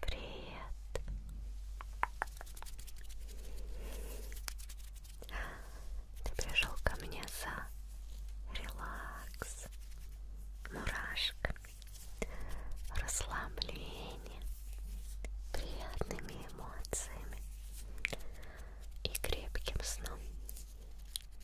Привет. Ты пришел ко мне за релакс, мурашками, расслаблением, приятными эмоциями и крепким сном.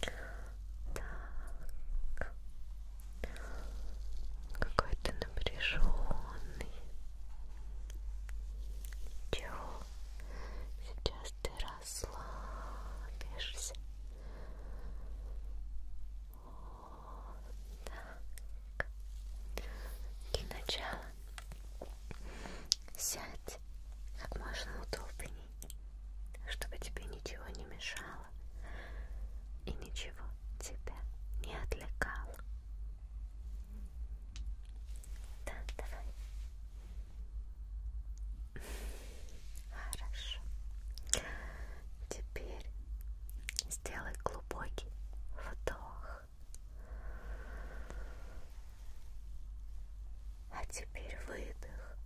Так. Какой ты напряженный. Чего? Сейчас ты расслабишься. Вот так. Для начала Сядь как можно удобней, чтобы тебе ничего не мешало и ничего тебя не отвлекало. Да, давай. Хорошо. Теперь сделай глубокий вдох а теперь выдох.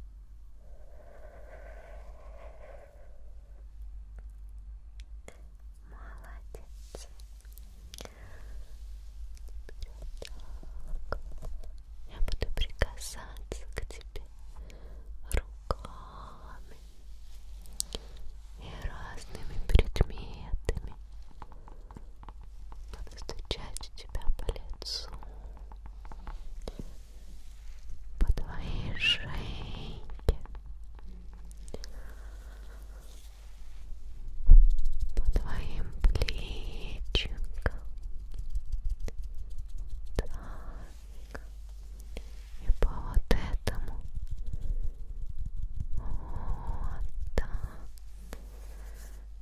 Молодец. Теперь вот так. Я буду прикасаться к тебе руками и разными предметами. Буду стучать тебя по лицу, по твоей шейке, по твоим плечикам. Так. И по вот этому. Вот так.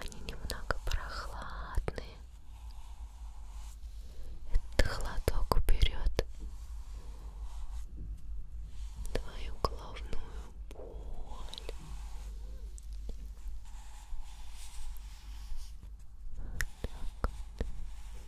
Они немного прохладные. Этот холодок уберет твою головную боль. Так.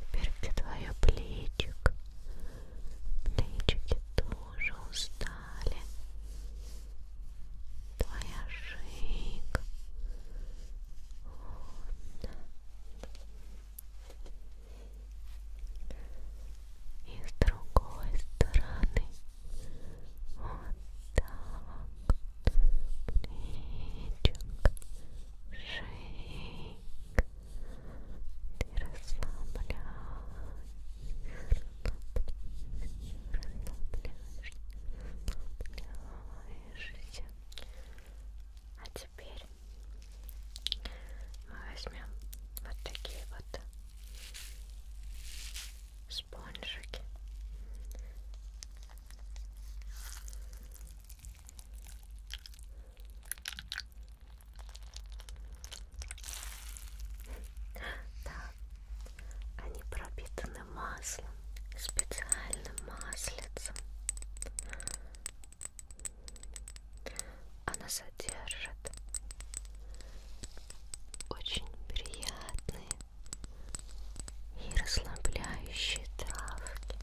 Теперь где твое плечик? Плечики тоже устали далее твоя шейка вот. и с другой стороны вот так плечик шейка ты расслабляешь, расслабляешь, расслабляешься. А теперь мы возьмем вот такие вот спонжики. Да, они пропитаны маслом, специальным маслицем. Она содержит очень приятные и расслабляющие травки.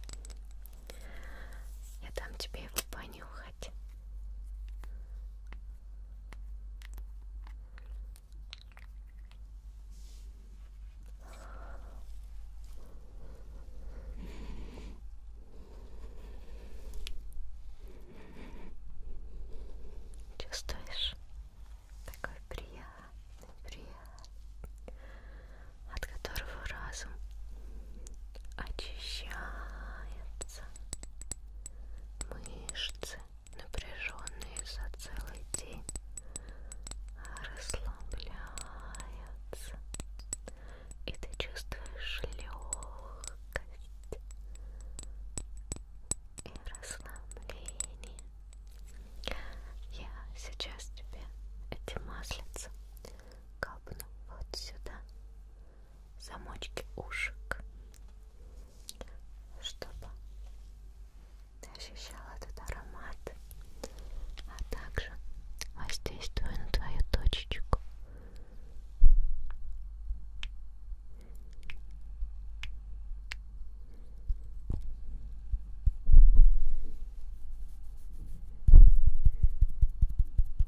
Я дам тебе его понюхать. Чувствуешь? Такой приятный, приятный, от которого разум очищается. Мышцы, напряженные за целый день, расслабляются, и ты чувствуешь легкость и расслабление. Я сейчас тебе эти маслица капну вот сюда замочки ушек, чтобы ты ощущал этот аромат, а также воздействую на твою точечку.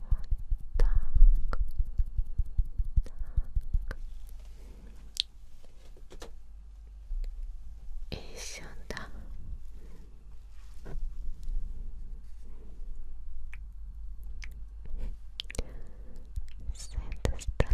так, так. И сюда. С этой стороны. Так.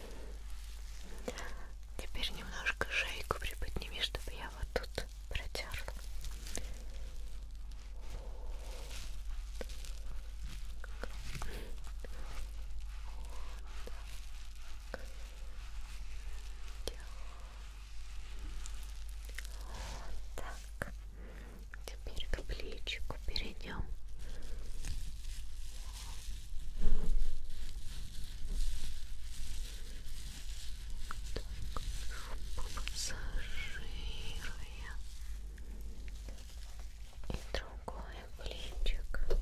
Теперь немножко шейку приподними, чтобы я вот тут протерла. Вот так. Теперь к плечику перейдем. Массажируя и другое плечик. Вот так вот.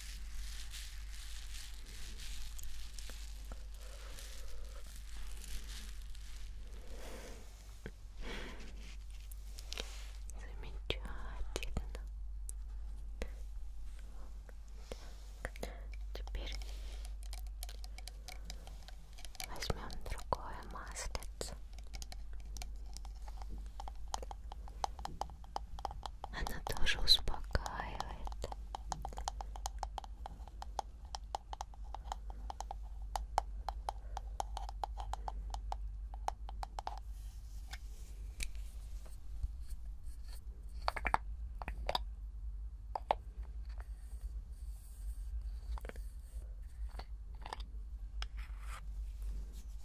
Замечательно. Так, теперь возьмем другое маслице. Она тоже успокаивает.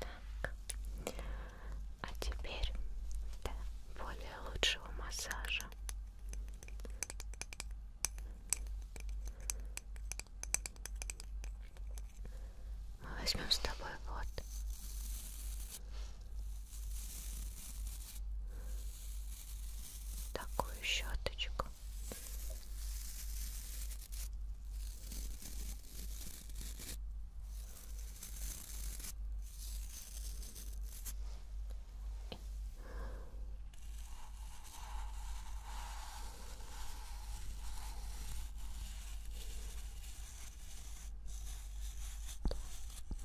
Так. А теперь для более лучшего массажа мы возьмем с тобой вот такую щеточку.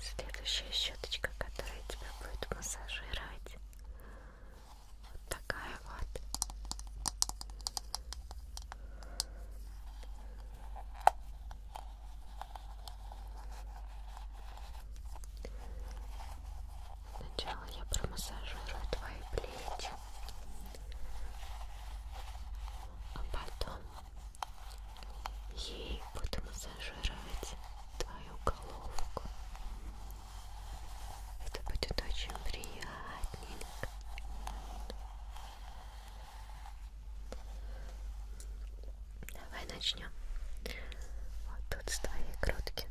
Следующая щеточка, которая тебя будет массажировать. Вот такая вот. Сначала я промассажирую твои плечи, а потом Ей буду массажировать твою головку. Это будет очень приятненько. Давай начнем. Вот тут с твоей грудки.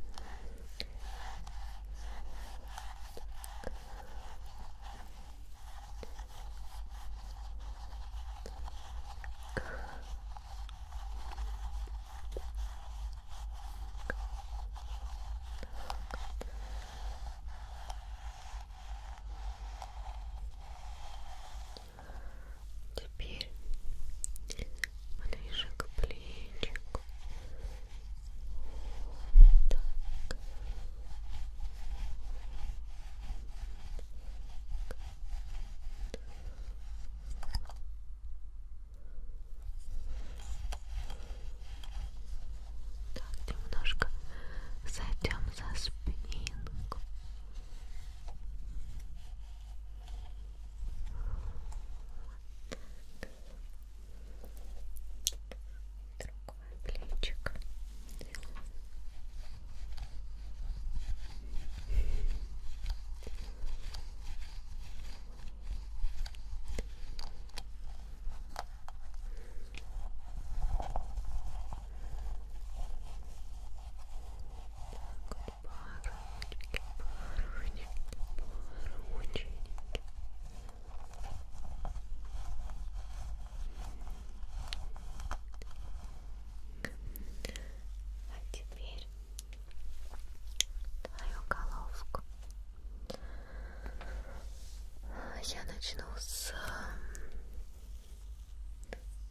Теперь ближе к плечику. Так. Так, немножко зайдем за спинку. Другой плечик. Так, парочки, парочки, парочки. А теперь твою головку. Я начну с э,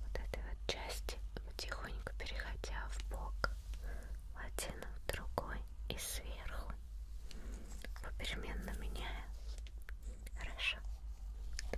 вот этой вот части, потихоньку переходя в бок в один, в другой и сверху, попеременно меняя. Хорошо. Так.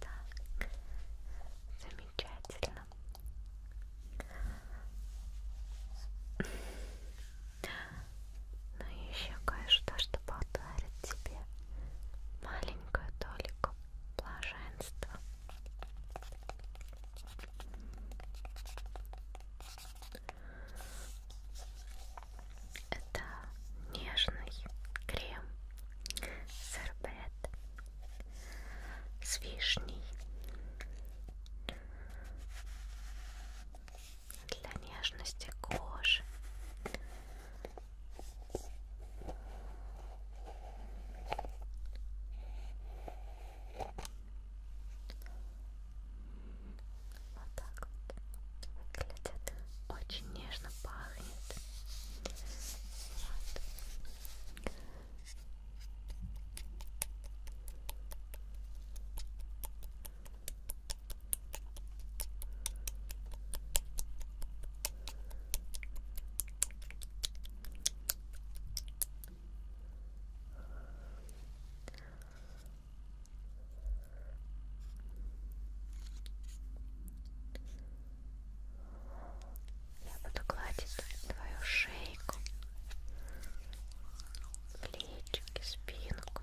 Так, замечательно. Ну и еще кое-что, что подарит тебе маленькую толику мук блаженства. Это нежный крем сорбет с вишней для нежности кожи вот так вот выглядит. Очень нежно пахнет. Вот. Я буду гладить твою шейку, плечики, спинку.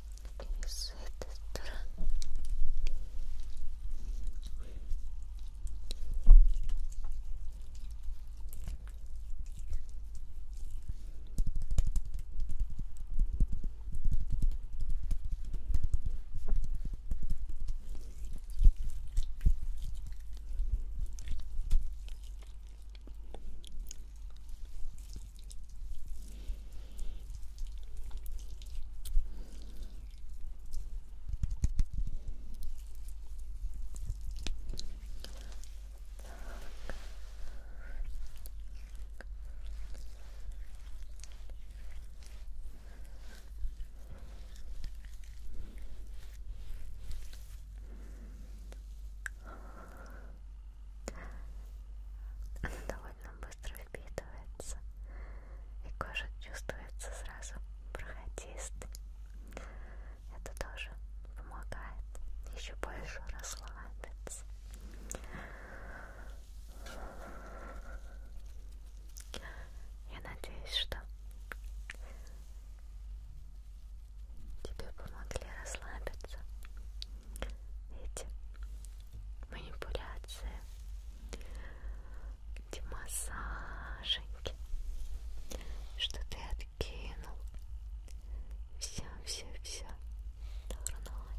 и с этой стороны Хорошо. Она довольно быстро выпитывается, и кожа чувствуется сразу проходистый. Это тоже помогает еще больше расслабиться. Я надеюсь, что тебе помогли расслабиться эти манипуляции, эти массаженьки, что ты откинул. Все, все, все дурное.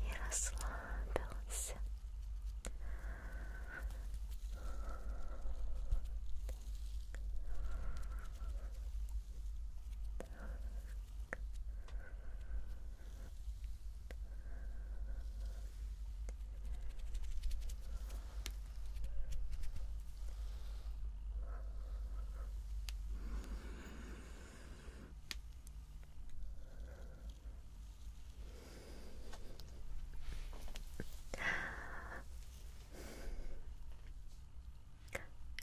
И расслабился. Так. Так.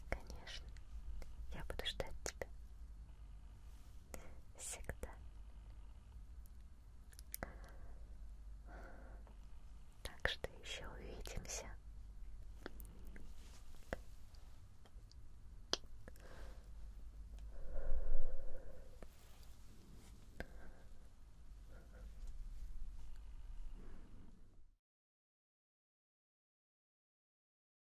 Конечно, я буду ждать тебя всегда. Так что еще увидимся.